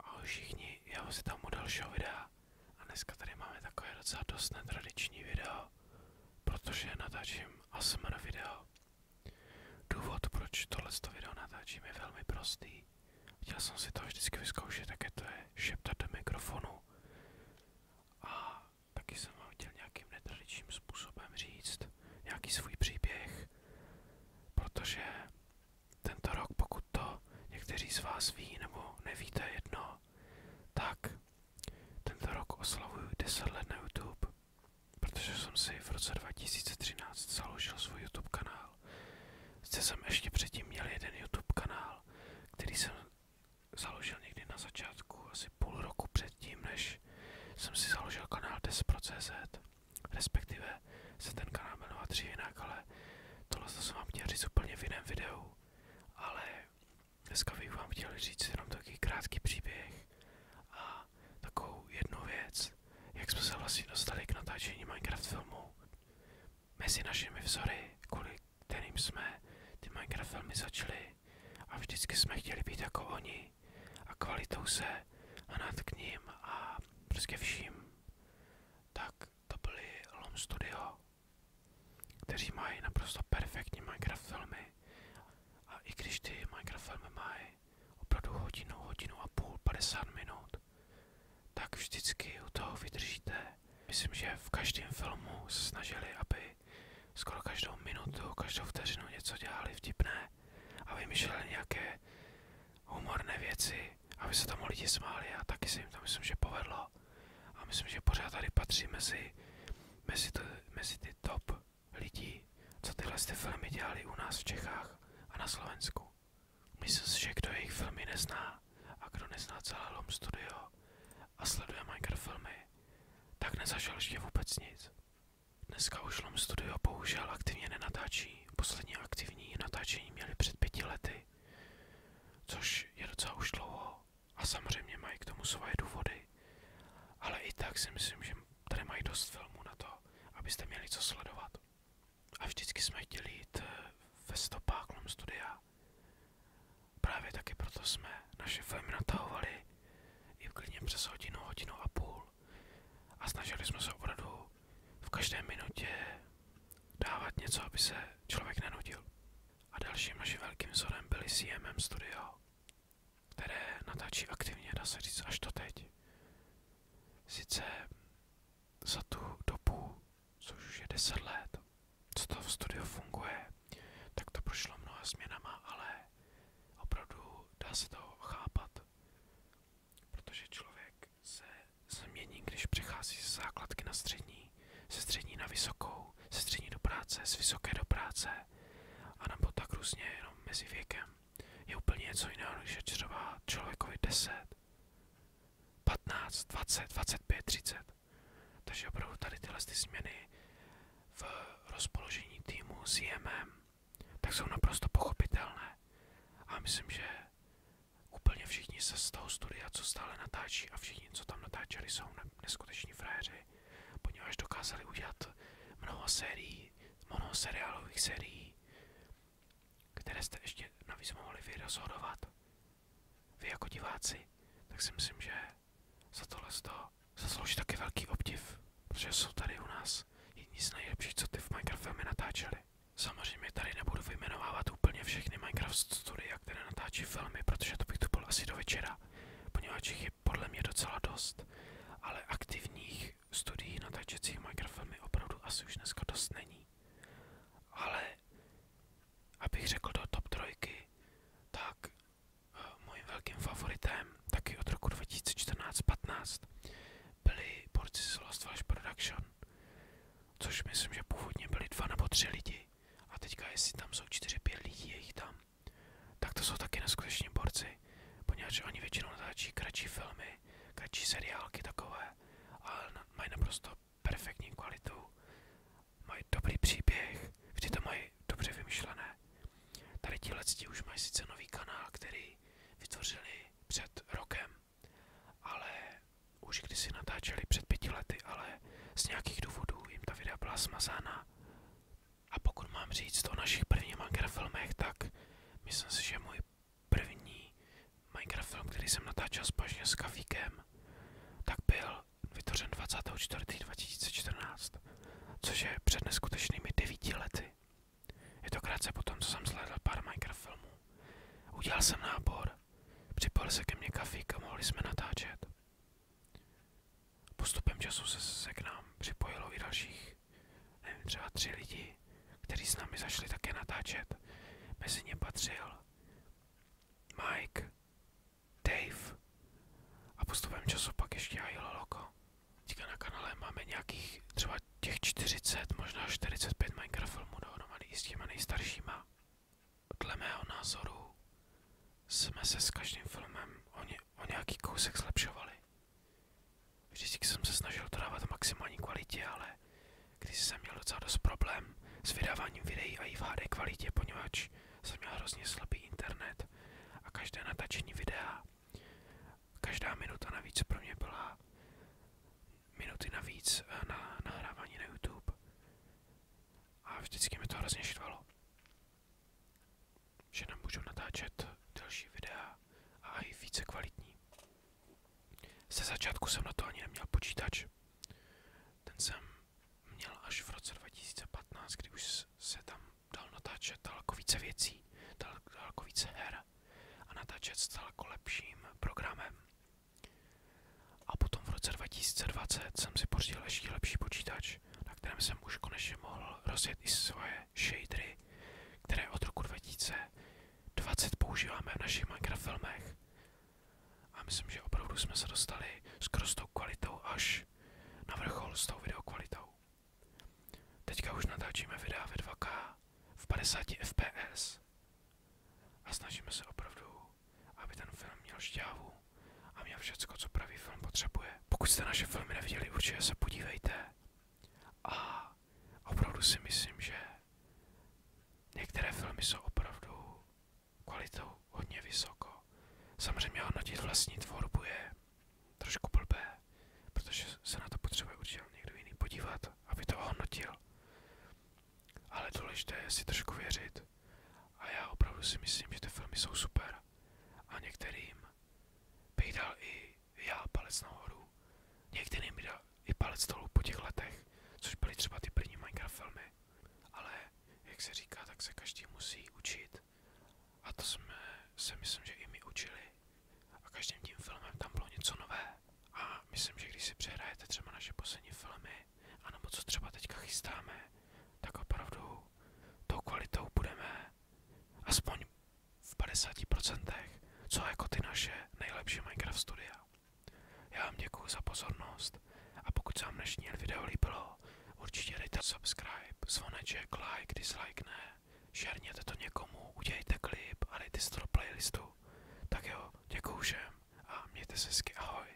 Ahoj všichni, já vás tam u dalšího videa a dneska tady máme takové docela dost netradiční video, protože natáčím ASMR video. Důvod, proč tohleto video natáčím, je velmi prostý. Chtěl jsem si to vždycky vyzkoušet, jaké to je šeptat do mikrofonu. A taky jsem vám chtěl nějakým netradičním způsobem říct nějaký svůj příběh, protože tento rok, pokud to někteří z vás ví nebo nevíte jedno, tak tento rok oslavuju 10 let na YouTube, protože jsem si v roce 2013 založil svůj YouTube kanál. Zde jsem ještě předtím měl jeden YouTube kanál, který jsem založil někdy na začátku, asi půl roku předtím, než jsem si založil kanál 10.cz. Respektive se ten kanál jmenoval tři jinak, ale tohle jsem vám chtěl říct úplně v jiném videu. Ale dneska bych vám chtěl říct jenom takový krátký příběh a takovou jednu věc, jak jsme se vlastně dostali k natáčení Minecraft filmu. Mezi našimi vzory, kvůli kterým jsme ty Minecraft filmy začaly a vždycky jsme chtěli být jako oni, a kvalitou se a nad k ním a prostě vším, tak to byli Lom Studio, kteří mají naprosto perfektní Minecraft filmy a i když ty Minecraft filmy mají opravdu hodinu, hodinu a půl, 50 minut, tak vždycky u toho vydržíte. Myslím, že v každém filmu se snažili, aby dělali. Skoro každou minutu, každou vteřinu něco dělali vtipné a vymýšleli nějaké humorné věci, aby se tomu lidi smáli a taky se jim to myslím, že povedlo. A myslím, že pořád tady patří mezi, mezi, to, mezi ty top lidí, co tyhle ty filmy dělali u nás v Čechách a na Slovensku. Myslím si, že kdo jejich filmy nezná a kdo nezná celé Lom Studio a sleduje Minecraft filmy, tak nezažil ještě vůbec nic. Dneska už Lom Studio bohužel aktivně nenatáčí. Poslední aktivní natáčení měli před pěti lety, což je docela už dlouho a samozřejmě mají k tomu svoje důvody. Ale i tak si myslím, že tady mají dost filmů na to, abyste měli co sledovat. A vždycky jsme chtěli jít eh, ve stopách Lom Studia. Právě taky proto jsme naše filmy natahovali i klidně přes hodinu, hodinu a půl. A snažili jsme se opravdu v každé minutě dávat něco, aby se člověk nenudil. A dalším naším velkým vzorem byly CMM Studio, které natáčí aktivně, dá se říct, až to teď. Sice za tu dobu, což už je 10 let, co to v studiu funguje, tak to prošlo mnoha změnama, ale opravdu dá se to chápat, protože člověk se změní, když přechází ze základky na střední, ze střední na vysokou, ze střední do práce, z vysoké do práce, a nebo tak různě jenom mezi věkem. Je úplně něco jiného, než je třeba člověkovi 10, 15, 20, 25, 30. Takže opravdu tady tyhle ty změny v rozpoložení týmu s JMM, tak jsou naprosto pochopitelné. A myslím, že úplně všichni se z toho studia, co stále natáčí a všichni, co tam natáčeli, jsou neskuteční frajeři, poněvadž dokázali udělat mnoho sérií, mnoho seriálových sérií, které jste ještě navíc mohli vy vy jako diváci, tak si myslím, že za tohle to zaslouží taky velký obdiv, protože jsou tady u nás jedni z nejlepších, co ty v Minecraft filmy natáčeli. Samozřejmě tady nebudu vyjmenovávat úplně všechny Minecraft studia, které natáčí filmy, protože to bych tu byl asi do večera, poněvadž jich je podle mě docela dost, ale aktivních studií natáčecích Minecraft filmy opravdu asi už dneska dost není. Ale abych řekl do top trojky, tak eh, mojím velkým favoritem taky od roku 2014-15 byli borci z Lost Flash Production, což myslím, že původně byli dva nebo tři lidi a teďka jestli tam jsou čtyři, pět lidí, je jich tam, tak to jsou taky neskuteční borci, poněvadž oni většinou natáčí kratší filmy, kratší seriálky takové, ale mají naprosto perfektní kvalitu, mají dobrý příběh, vždy to mají dobře vymyšlené. Tady ti letci už mají sice nový kanál, který vytvořili před rokem, ale už když si natáčeli před pěti lety, ale z nějakých důvodů jim ta videa byla smazána. A pokud mám říct o našich prvních manga filmech, tak myslím si, že můj první Minecraft který jsem natáčel společně s Kavíkem, tak byl vytvořen 24.2014, což je před neskutečnými 9 lety. Je to krátce potom, co jsem sledal pár Minecraft Udělal jsem nábor, připojil se ke mně Kafík a mohli jsme natáčet. Postupem času se, se k nám připojilo i dalších, nevím, třeba tři lidi kteří s námi zašli také natáčet. Mezi ně patřil Mike, Dave a postupem času pak ještě i Loloko. Teďka na kanále máme nějakých třeba těch 40, možná 45 Minecraft filmů dohromady i s těma nejstaršíma. Dle mého názoru jsme se s každým filmem o, ně, o nějaký kousek zlepšovali. Vždycky jsem se snažil to dávat v maximální kvalitě, ale když jsem měl docela dost problém s vydáváním videí a i v HD kvalitě, poněvadž jsem měl hrozně slabý internet a každé natačení videa, každá minuta navíc pro mě byla minuty navíc eh, na nahrávání na YouTube. A vždycky mi to hrozně štvalo, že nemůžu natáčet další videa a, a i více kvalitní. Ze začátku jsem na to ani neměl počítač. Ten jsem měl až v roce 2015, kdy už se tam dal natáčet daleko více věcí, daleko více her a natáčet s daleko jako lepším programem. A potom v roce 2020 jsem si pořídil ještě lepší počítač, na kterém jsem už konečně mohl rozjet i svoje shadery, které od roku 2020 používáme v našich Minecraft filmech. A myslím, že opravdu jsme se dostali skoro s tou kvalitou až na vrchol s tou videokvalitou. Teďka už natáčíme videa ve 2K v 50 fps a snažíme se opravdu, aby ten film měl šťávu a měl všecko, co pravý film potřebuje. Pokud jste naše filmy neviděli, určitě se podívejte. A opravdu si myslím, že některé filmy jsou opravdu kvalitou hodně vysoko. Samozřejmě hodnotit vlastní tvorbu je trošku blbé, protože se na to potřebuje určitě někdo jiný podívat, aby to hodnotil. Ale důležité je si trošku věřit. A já opravdu si myslím, že ty filmy jsou super. A některým bych dal i já palec nahoru. Někdy mi dal i palec dolů po těch letech, což byly třeba ty první Minecraft filmy. Ale jak se říká, tak se každý musí učit. A to jsme se myslím, že i my učili. A každým tím filmem tam bylo něco nové. A myslím, že když si přehrajete třeba naše poslední filmy, anebo co třeba teďka chystáme, tak opravdu tou kvalitou budeme aspoň v 50%, co jako ty naše nejlepší Minecraft studia. Já vám děkuji za pozornost a pokud se vám dnešní video líbilo, určitě dejte subscribe, zvoneček, like, dislike ne, šerněte to někomu, udělejte klip a dejte si to do playlistu. Tak jo, děkuji všem a mějte se hezky, ahoj.